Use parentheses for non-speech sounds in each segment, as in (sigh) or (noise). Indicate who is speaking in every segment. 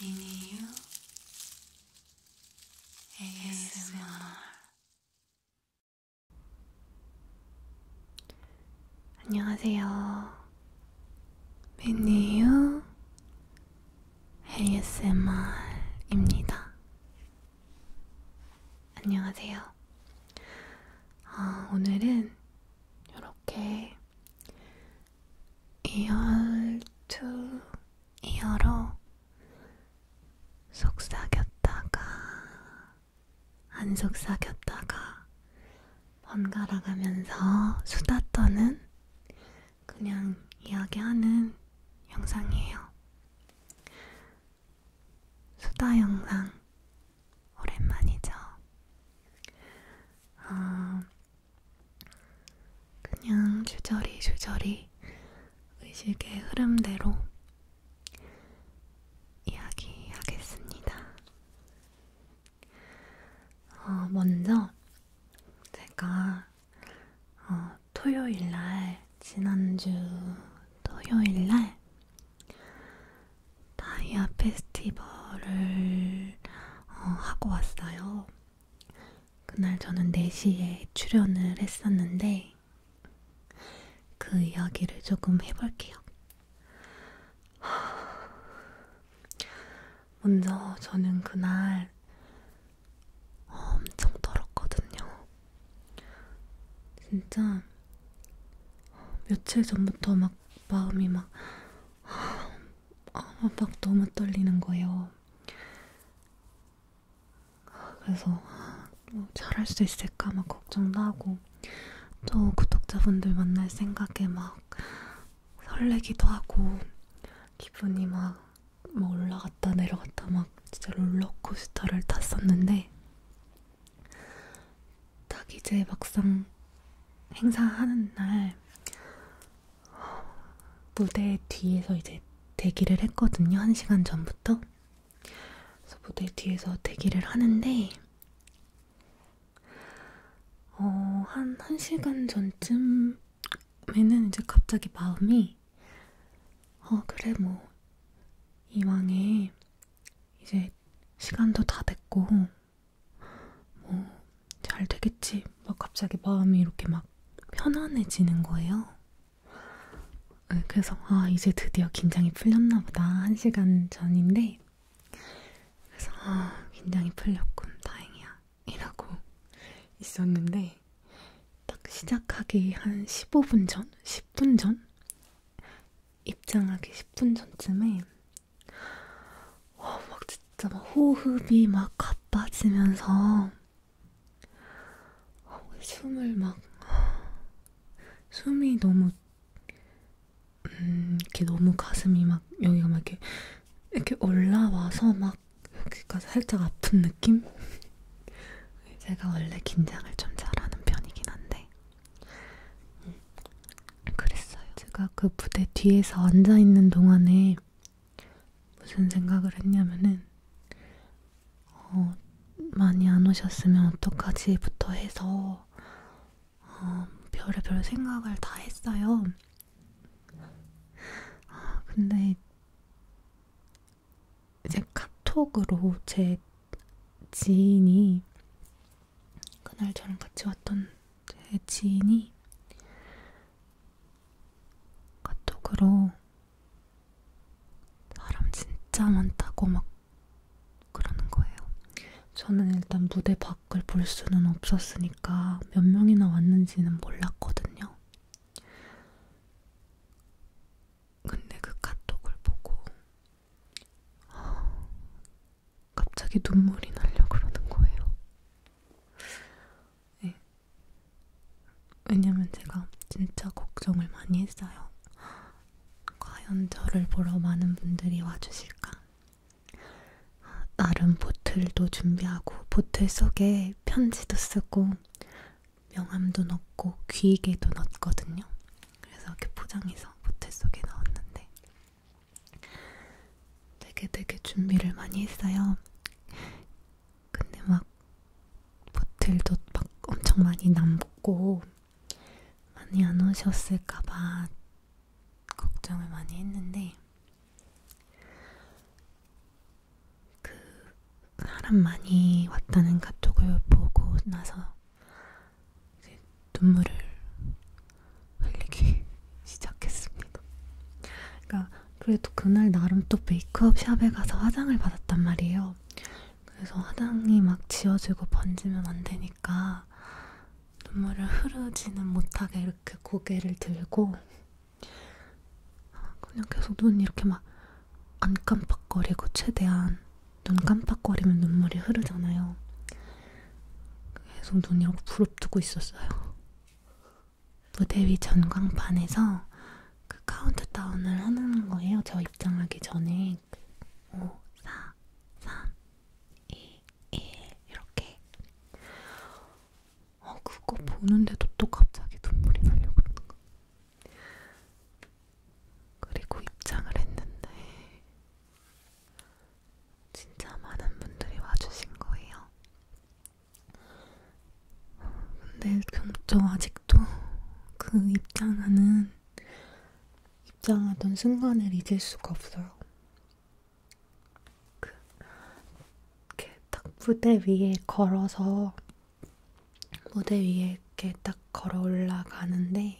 Speaker 1: 미니유 ASMR 안녕하세요. 미니유 ASMR입니다. 안녕하세요. 아, 오늘은 이렇게 이열 투 이어로 속삭였다가 안 속삭였다가 번갈아 가면서 수다 떠는 그냥 이야기하는 영상이에요. 수다 영상 오랜만이죠. 어, 그냥 주저리 주저리 의식의 흐름대로 이야기하겠습니다. 어, 먼저 제가 어, 토요일날 지난주 토요일날 다이아 페스티벌을 어, 하고 왔어요. 그날 저는 4시에 출연을 했었는데 그 이야기를 조금 해볼게요. (sighs) 먼저 저는 그날 엄청 떨었거든요. 진짜 며칠 전부터 막 마음이 막 아, 막 너무 떨리는 거예요. 그래서 뭐 잘할 수 있을까 막 걱정도 하고 또 구독자분들 만날 생각에 막 설레기도 하고 기분이 막, 막 뭐 올라갔다 내려갔다 막 진짜 롤러코스터를 탔었는데 딱 이제 막상 행사하는 날 무대 뒤에서 이제 대기를 했거든요. 한 시간 전부터. 그래서 무대 뒤에서 대기를 하는데, 어, 한, 한 시간 전쯤에는 이제 갑자기 마음이, 어, 그래, 뭐, 이왕에 이제 시간도 다 됐고, 뭐잘 되겠지 막 갑자기 마음이 이렇게 막 편안해지는 거예요. 네, 그래서 아 이제 드디어 긴장이 풀렸나 보다 한 시간 전인데 그래서 아 긴장이 풀렸군 다행이야 이라고 있었는데 딱 시작하기 한 15분 전? 10분 전? 입장하기 10분 전쯤에 어, 막 진짜 막 호흡이 막 가빠지면서 어, 숨을 막 숨이 너무 음, 이렇게 너무 가슴이 막 여기가 막 이렇게 이렇게 올라와서 막 여기까지 살짝 아픈 느낌? 제가 원래 긴장을 좀 잘하는 편이긴 한데 음, 그랬어요. 제가 그 무대 뒤에서 앉아 있는 동안에 무슨 생각을 했냐면은 어, 많이 안 오셨으면 어떡하지부터 해서 어, 별의별 생각을 다 했어요. 어, 근데 이제 카톡으로 제 지인이 그날 저랑 같이 왔던 제 지인이 카톡으로 사람 진짜 많다고 막 그러는 거예요. 저는 일단 무대 밖을 볼 수는 없었으니까 몇 명이나 왔는지는 몰랐거든요. 근데 그 카톡을 보고 아, 갑자기 눈물이 나려고 그러는 거예요. 네. 왜냐면 제가 진짜 걱정을 많이 했어요. 과연 저를 보러 많은 분들이 와주실까? 나름 보틀도 준비하고 보틀 속에 편지도 쓰고 명함도 넣고 귀이개도 넣었거든요. 그래서 이렇게 포장해서 보틀 속에 넣었는데 되게 되게 준비를 많이 했어요. 근데 막 보틀도 막 엄청 많이 남고 많이 안 오셨을까봐 걱정을 많이 했는데 그 사람 많이 왔다는 카톡을 보고 나서 눈물을 흘리기 (laughs) 시작했습니다. 그러니까 그래도 그날 나름 또 메이크업 샵에 가서 화장을 받았단 말이에요. 그래서 화장이 막 지워지고 번지면 안 되니까 눈물을 흐르지는 못하게 이렇게 고개를 들고 아, 그냥 계속 눈 이렇게 막 안 깜빡거리고 최대한 눈 깜빡거리면 눈물이 흐르잖아요. 계속 눈이 이렇게 부릅뜨고 있었어요. 무대 위 전광판에서 그 카운트다운을 하는 거예요. 저 입장하기 전에 5, 4, 3, 2, 1 이렇게 어, 그거 보는데도 또 갑자기 눈물이 나려고 그러는 거 그리고 입장을 했는데 진짜 많은 분들이 와주신 거예요. 근데 저 아직도 그 입장하는 입장하던 순간을 잊을 수가 없어요. 그, 이렇게 딱 무대 위에 걸어서 무대 위에 이렇게 딱 걸어 올라가는데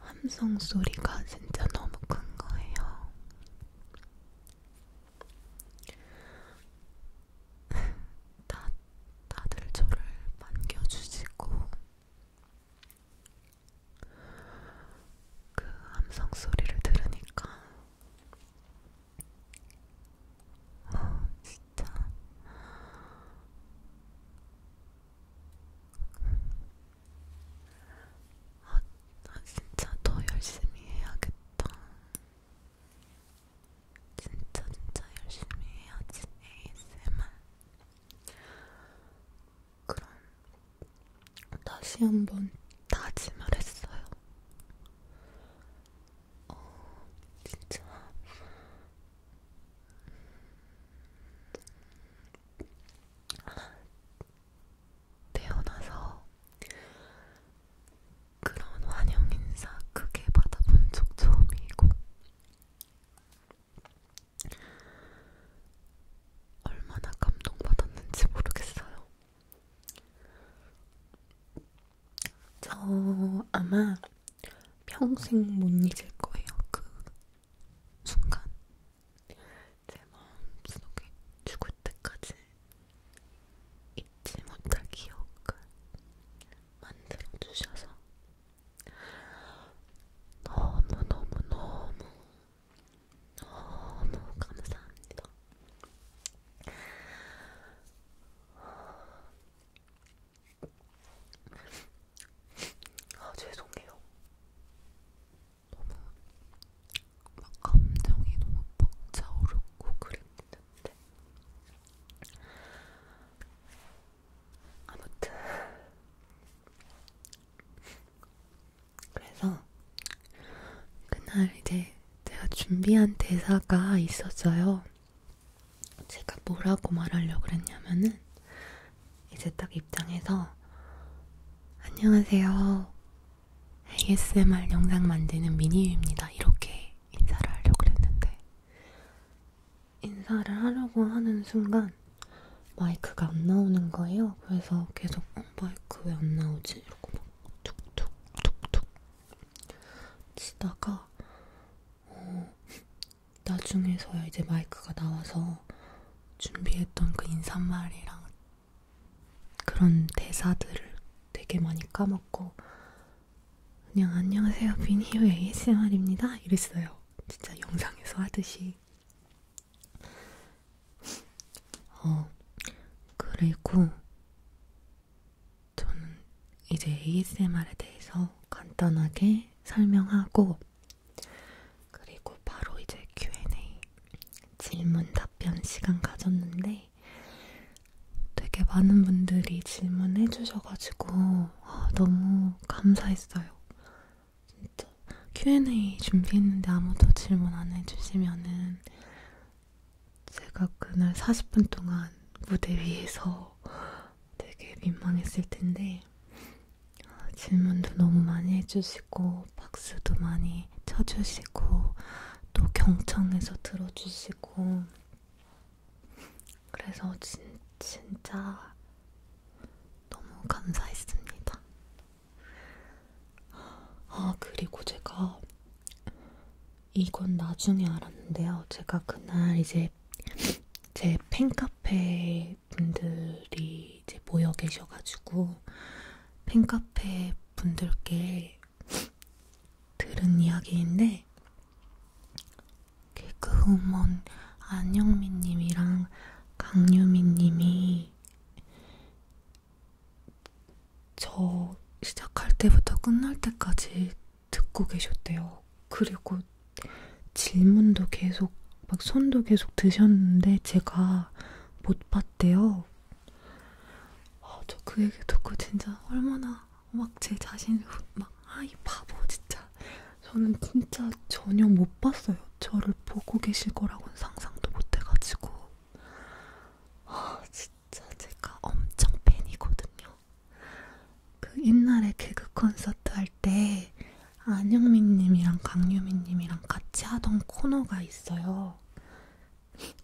Speaker 1: 함성 소리가 진짜 너무 큰 거예요. (laughs) 다, 다들 저를 반겨주시고, 그 함성 소리를 들으니까, 어, 진짜. 아, 나 진짜 더 열심히 해야겠다. 진짜 진짜 열심히 해야지 ASMR. 그럼 다시 한번 다짐을 했어요. 어, 진짜. 태어나서 그런 환영 인사 크게 받아본 적 처음이고 얼마나 감동받았는지 모르겠어요. 저 아마 평생 못 잊을 거예요. 그 순간 제 마음속에 죽을 때까지 잊지 못할 기억을 만들어 주셔서 너무 너무 너무 너무 감사합니다. 아 죄송해요. 너무 막 감정이 너무 벅차오르고 그랬는데 아무튼 그래서 그날 이제 제가 준비한 대사가 있었어요. 제가 뭐라고 말하려고 그랬냐면은 이제 딱 입장해서 안녕하세요. ASMR 영상 만드는 미니유입니다. 이렇게 인사를 하려고 했는데 인사를 하려고 하는 순간 마이크가 안 나오는 거예요. 그래서 계속 어, 마이크 왜 안 나오지? 이러고 막 툭툭툭툭 치다가 어, 나중에서야 이제 마이크가 나와서 준비했던 그 인사말이랑 그런 대사들을 되게 많이 까먹고 그냥 안녕하세요 비니유 ASMR입니다 이랬어요 진짜 영상에서 하듯이 어 그리고 저는 이제 ASMR에 대해서 간단하게 설명하고 그리고 바로 이제 Q&A 질문 답변 시간 가졌는데 되게 많은 분들이 질문해 주셔가지고 아, 너무 감사했어요. 진짜 Q&A 준비했는데 아무도 질문 안 해주시면은 제가 그날 40분 동안 무대 위에서 되게 민망했을 텐데 질문도 너무 많이 해주시고 박수도 많이 쳐주시고 또 경청해서 들어주시고 그래서 진, 진짜 너무 감사했습니다. 아 그리고 제가 이건 나중에 알았는데요. 제가 그날 이제 제 팬카페 카페 분들이 이제 모여 계셔가지고 팬카페 분들께 들은 이야기인데 개그우먼 안영민님이랑 강유민님이 저 시작할 때부터 끝날 때까지 듣고 계셨대요. 그리고 질문도 계속 막 손도 계속 드셨는데 제가 못 봤대요. 어, 아, 저그 얘기 듣고 진짜 얼마나 막 제 자신을 (laughs) 막아이 바보 진짜 저는 진짜 전혀 못 봤어요. 저를 보고 계실 거라고는 상상도 못 해가지고 아 어, 진짜 제가 엄청 팬이거든요. 그 옛날에 개그 콘서트 할때 안영민 님이랑 강유민 님이랑 같이 하던 코너가 있어요.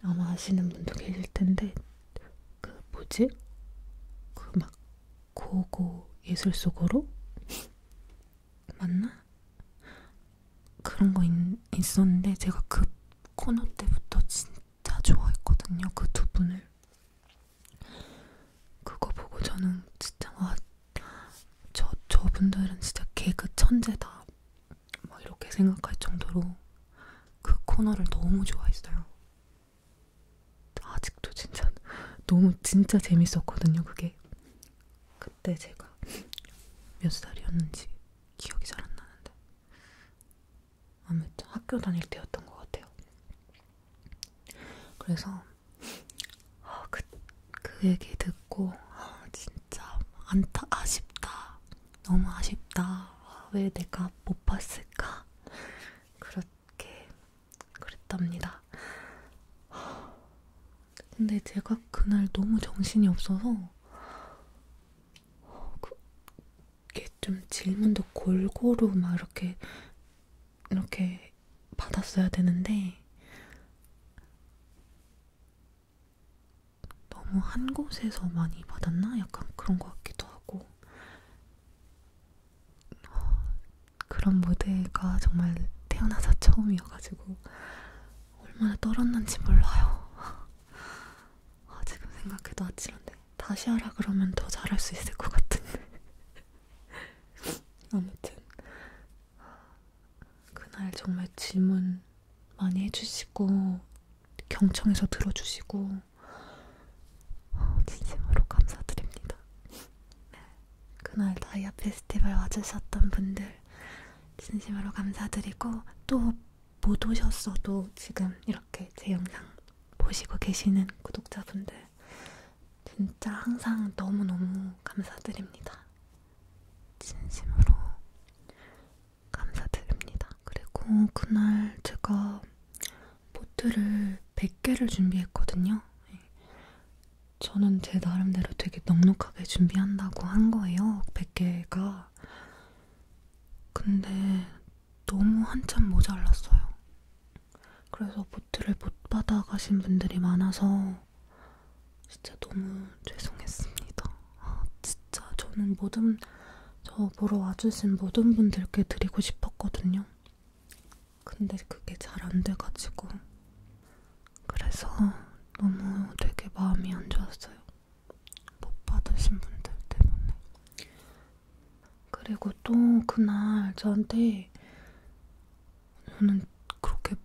Speaker 1: 아마 아시는 분도 계실 텐데, 그 뭐지? 그 막 고고 예술 속으로? 맞나? 그런 거 있, 있었는데 제가 그 코너 때부터 진짜 좋아했거든요. 그 두 분을. 그거 보고 저는 진짜 와 저, 저분들은 진짜 개그 천재다. 막 이렇게 생각할 정도로 그 코너를 너무 좋아했어요. 아직도 진짜 너무 진짜 재밌었거든요, 그게. 그때 제가 몇 살이었는지 기억이 잘 안 나는데. 아무튼 학교 다닐 때였던 것 같아요. 그래서 어, 그, 그 얘기 듣고 어, 진짜 안타 아쉽다. 너무 아쉽다. 아, 왜 내가 못 봤을까? 그렇게 그랬답니다. 근데 제가 그날 너무 정신이 없어서 어, 그게 좀 질문도 골고루 막 이렇게 이렇게 받았어야 되는데 너무 한 곳에서 많이 받았나? 약간 그런 것 같기도 하고 그런 무대가 정말 태어나서 처음이어가지고 얼마나 떨었는지 몰라요. (laughs) 아, 지금 생각해도 아찔한데 다시 하라 그러면 더 잘할 수 있을 것 같은데 (laughs) 아무튼 그날 정말 질문 많이 해주시고 경청해서 들어주시고 진심으로 감사드립니다. 네. 그날 다이아 페스티벌 와주셨던 분들 진심으로 감사드리고 또 못 오셨어도 지금 이렇게 제 영상 보시고 계시는 구독자분들 진짜 항상 너무너무 감사드립니다. 진심으로 감사드립니다. 그리고 그날 제가 보트를 100개를 준비했거든요. 예. 저는 제 나름대로 되게 넉넉하게 준비한다고 한 거예요. 100개가. 근데 너무 한참 모자랐어요. 그래서 보트를 못 받아가신 분들이 많아서 진짜 너무 죄송했습니다. 아, 진짜 저는 모든 저 보러 와주신 모든 분들께 드리고 싶었거든요. 근데 그게 잘 안 돼가지고 그래서 너무 되게 마음이 안 좋았어요. 못 받으신 분들 때문에. 그리고 또 그날 저한테 저는 그렇게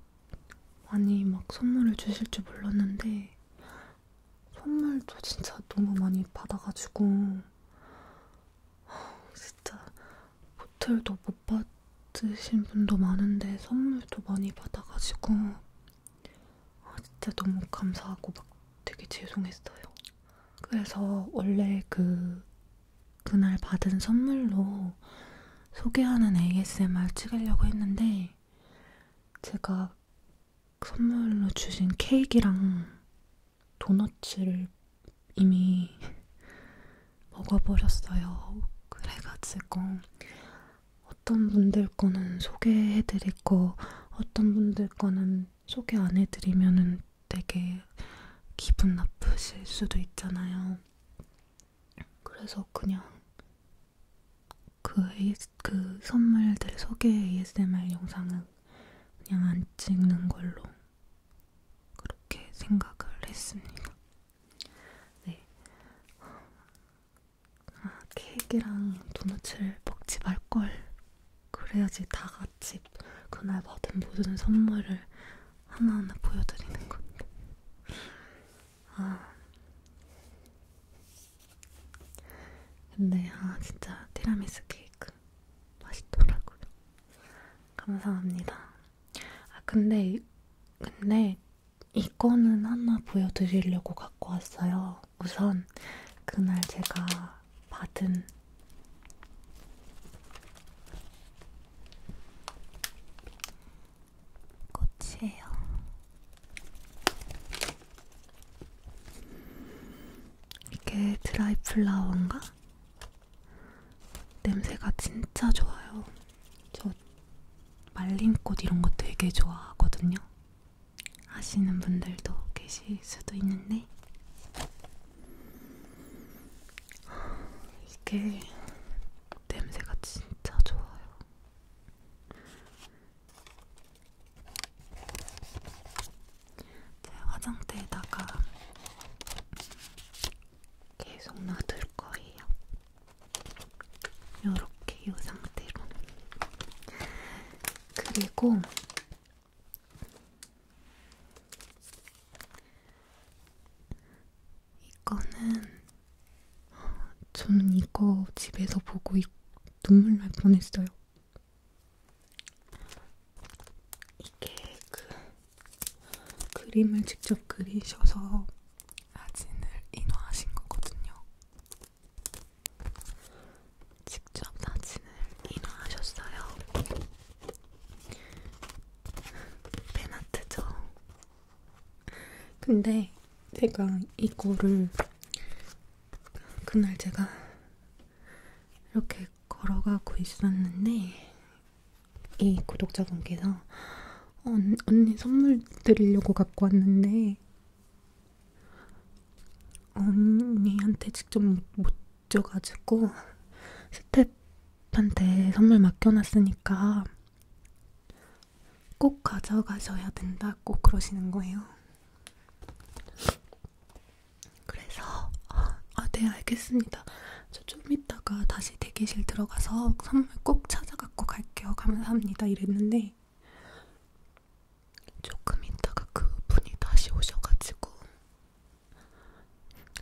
Speaker 1: 많이 막 선물을 주실 줄 몰랐는데 선물도 진짜 너무 많이 받아가지고 진짜 호텔도 못 받으신 분도 많은데 선물도 많이 받아가지고 아, 진짜 너무 감사하고 막 되게 죄송했어요. 그래서 원래 그 그날 받은 선물로 소개하는 ASMR 찍으려고 했는데 제가 선물로 주신 케이크랑 도넛을 이미 (laughs) 먹어버렸어요. 그래가지고 어떤 분들 거는 소개해드릴 거 어떤 분들 거는 소개 안 해드리면은 되게 기분 나쁘실 수도 있잖아요. 그래서 그냥 그, AS, 그 선물들 소개 ASMR 영상은 그냥 안 찍는 걸로 그렇게 생각을 했습니다. 네. 아, 케이크랑 도넛을 먹지 말걸. 그래야지 다 같이 그날 받은 모든 선물을 하나하나 보여드리는 건데. 아. 근데 아 진짜 티라미수 케이크 맛있더라고요. 감사합니다. 아 근데 근데 이거는 하나 보여드리려고 갖고 왔어요. 우선 그날 제가 받은 꽃이에요. 이게 드라이 플라워인가? 냄새가 진짜 좋아요. 저 말린 꽃 이런 거 되게 좋아하거든요. 아시는 분들도 계실 수도 있는데 이게 냄새가 진짜 좋아요. 제 화장대에다가 계속 놔둘 거예요. 요렇게 이 상태로. 그리고 이거는 어, 저는 이거 집에서 보고 있, 눈물 날 뻔했어요. 이게 그 그림을 직접 그리셔서 사진을 인화하신 거거든요. 직접 사진을 인화하셨어요. 팬아트죠. 근데 제가 이거를 그날 제가 이렇게 걸어가고 있었는데 이 구독자분께서 언, 언니 선물 드리려고 갖고 왔는데 언니한테 직접 못 줘가지고 스텝 아빠한테 선물 맡겨놨으니까 꼭 가져가셔야 된다고 그러시는 거예요. 그래서 아, 네 알겠습니다. 저좀 이따가 다시 대기실 들어가서 선물 꼭 찾아갖고 갈게요. 감사합니다. 이랬는데 조금 이따가 그분이 다시 오셔가지고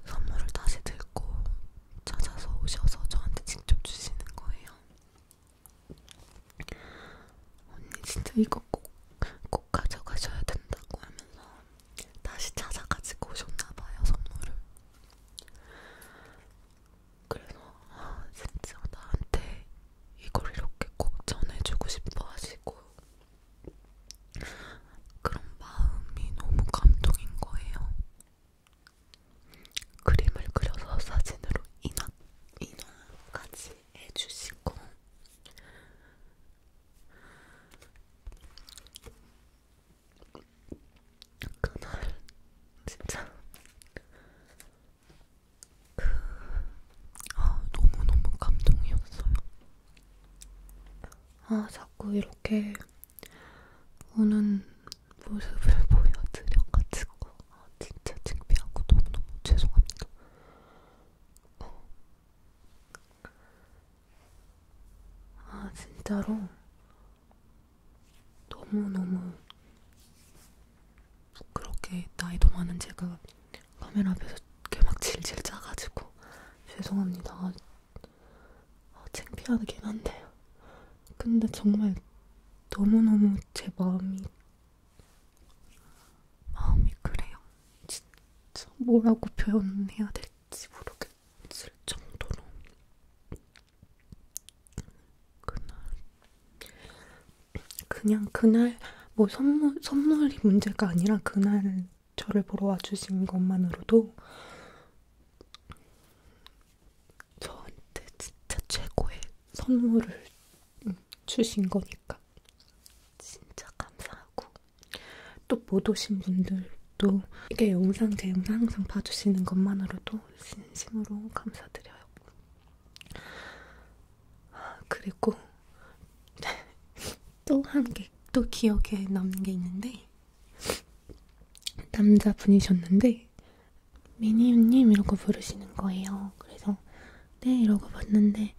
Speaker 1: 선물을 다시 들고 찾아서 오셔서 저한테 직접 주시는 거예요. 언니 진짜 이거 꼭, 꼭 가져가셔야 된다고 하면서 다시 찾아가지고 오셨나봐요, 선물을. 그래서 아, 진짜 나한테 이걸 이렇게 꼭 전해주고 싶어 하시고 그런 마음이 너무 감동인 거예요. 그림을 그려서 사진으로 인화, 인화까지 해주시고 그날 진짜 그 아, 너무너무 감동이었어요. 아, 자꾸 이렇게 우는 모습을 (laughs) 보여드려가지고 아, 진짜 창피하고 너무너무 죄송합니다. 어. 아 진짜로 너무너무 그렇게 나이도 많은 제가 카메라 앞에서 이렇게 막 질질 짜가지고 죄송합니다. 아, 창피하긴 한데요. 근데 정말 너무너무 제 마음이 마음이 그래요. 진짜 뭐라고 표현해야 될지 모르겠을 정도로 그날 그냥 그날 뭐 선물 선물이 문제가 아니라 그날 저를 보러 와주신 것만으로도 저한테 진짜 최고의 선물을 주신 거니까 진짜 감사하고 또 못 오신 분들도 이게 영상 제 영상 항상 봐주시는 것만으로도 진심으로 감사드려요. 아, 그리고 또 한개또 (laughs) 기억에 남는 게 있는데 남자분이셨는데 미니유님 이러고 부르시는 거예요. 그래서 네 이러고 봤는데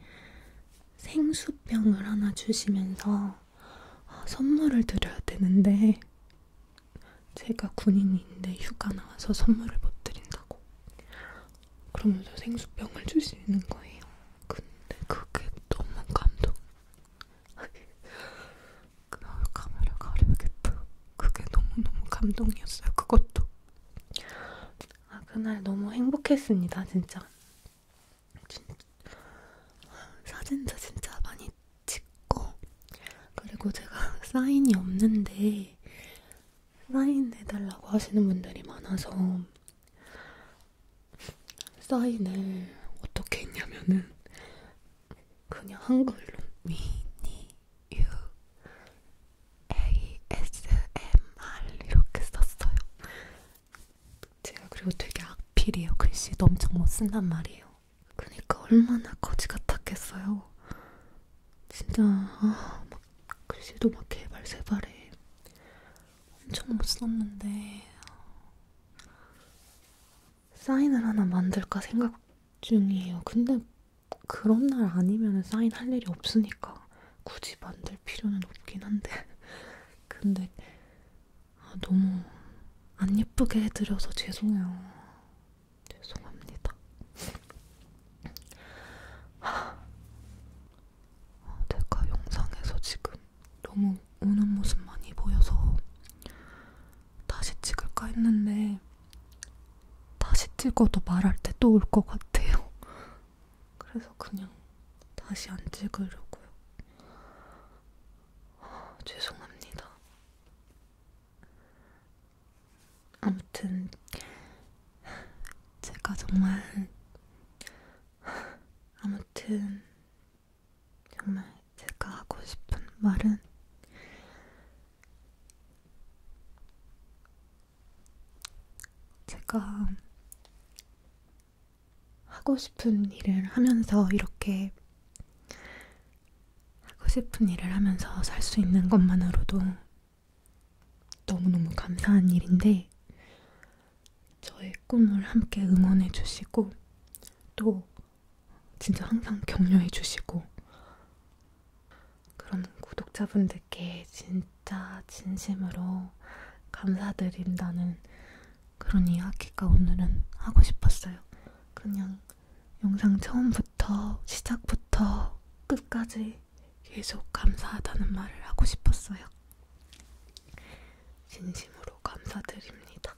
Speaker 1: 생수병을 하나 주시면서 아, 선물을 드려야 되는데 제가 군인인데 휴가 나와서 선물을 못 드린다고 그러면서 생수병을 주시는 거예요. 근데 그게 너무 감동. 그걸 카메라 가려야겠다. 그게 너무너무 감동이었어요. 그것도. 아, 그날 너무 행복했습니다. 진짜. 진짜. 사진도 진짜 많이 찍고. 그리고 제가 (laughs) 사인이 없는데, 사인 해달라고 하시는 분들이 많아서, 사인을 어떻게 했냐면은, 그냥 한글로 미니 유 ASMR 이렇게 썼어요. 제가 그리고 되게 악필이에요. 글씨도 엄청 못 쓴단 말이에요. 그러니까 얼마나 거지 같았겠어요. 진짜 아, 막 글씨도 막 개발세발해. 엄청 못 썼는데 사인을 하나 만들까 생각 중이에요. 근데 그런 날 아니면 사인할 일이 없으니까 굳이 만들 필요는 없긴 한데. (laughs) 근데 아, 너무 안 예쁘게 해드려서 죄송해요. 죄송합니다. 하, 아, 내가 영상에서 지금 너무 우는 모습 많이 보여서 다시 찍을까 했는데 다시 찍어도 말할 때 또 올 것 같아요. (laughs) 그래서 그냥 다시 안 찍으려고요. 아, 죄송합니다. 아무튼 제가 정말 (laughs) 아무튼 정말 제가 하고 싶은 말은 제가 하고 싶은 일을 하면서 이렇게 하고 싶은 일을 하면서 살 수 있는 것만으로도 너무너무 감사한 일인데 저의 꿈을 함께 응원해 주시고 또 진짜 항상 격려해 주시고 그런 구독자분들께 진짜 진심으로 감사드린다는 그런 이야기가 오늘은 하고 싶었어요. 그냥 영상 처음부터 시작부터 끝까지 계속 감사하다는 말을 하고 싶었어요. 진심으로 감사드립니다.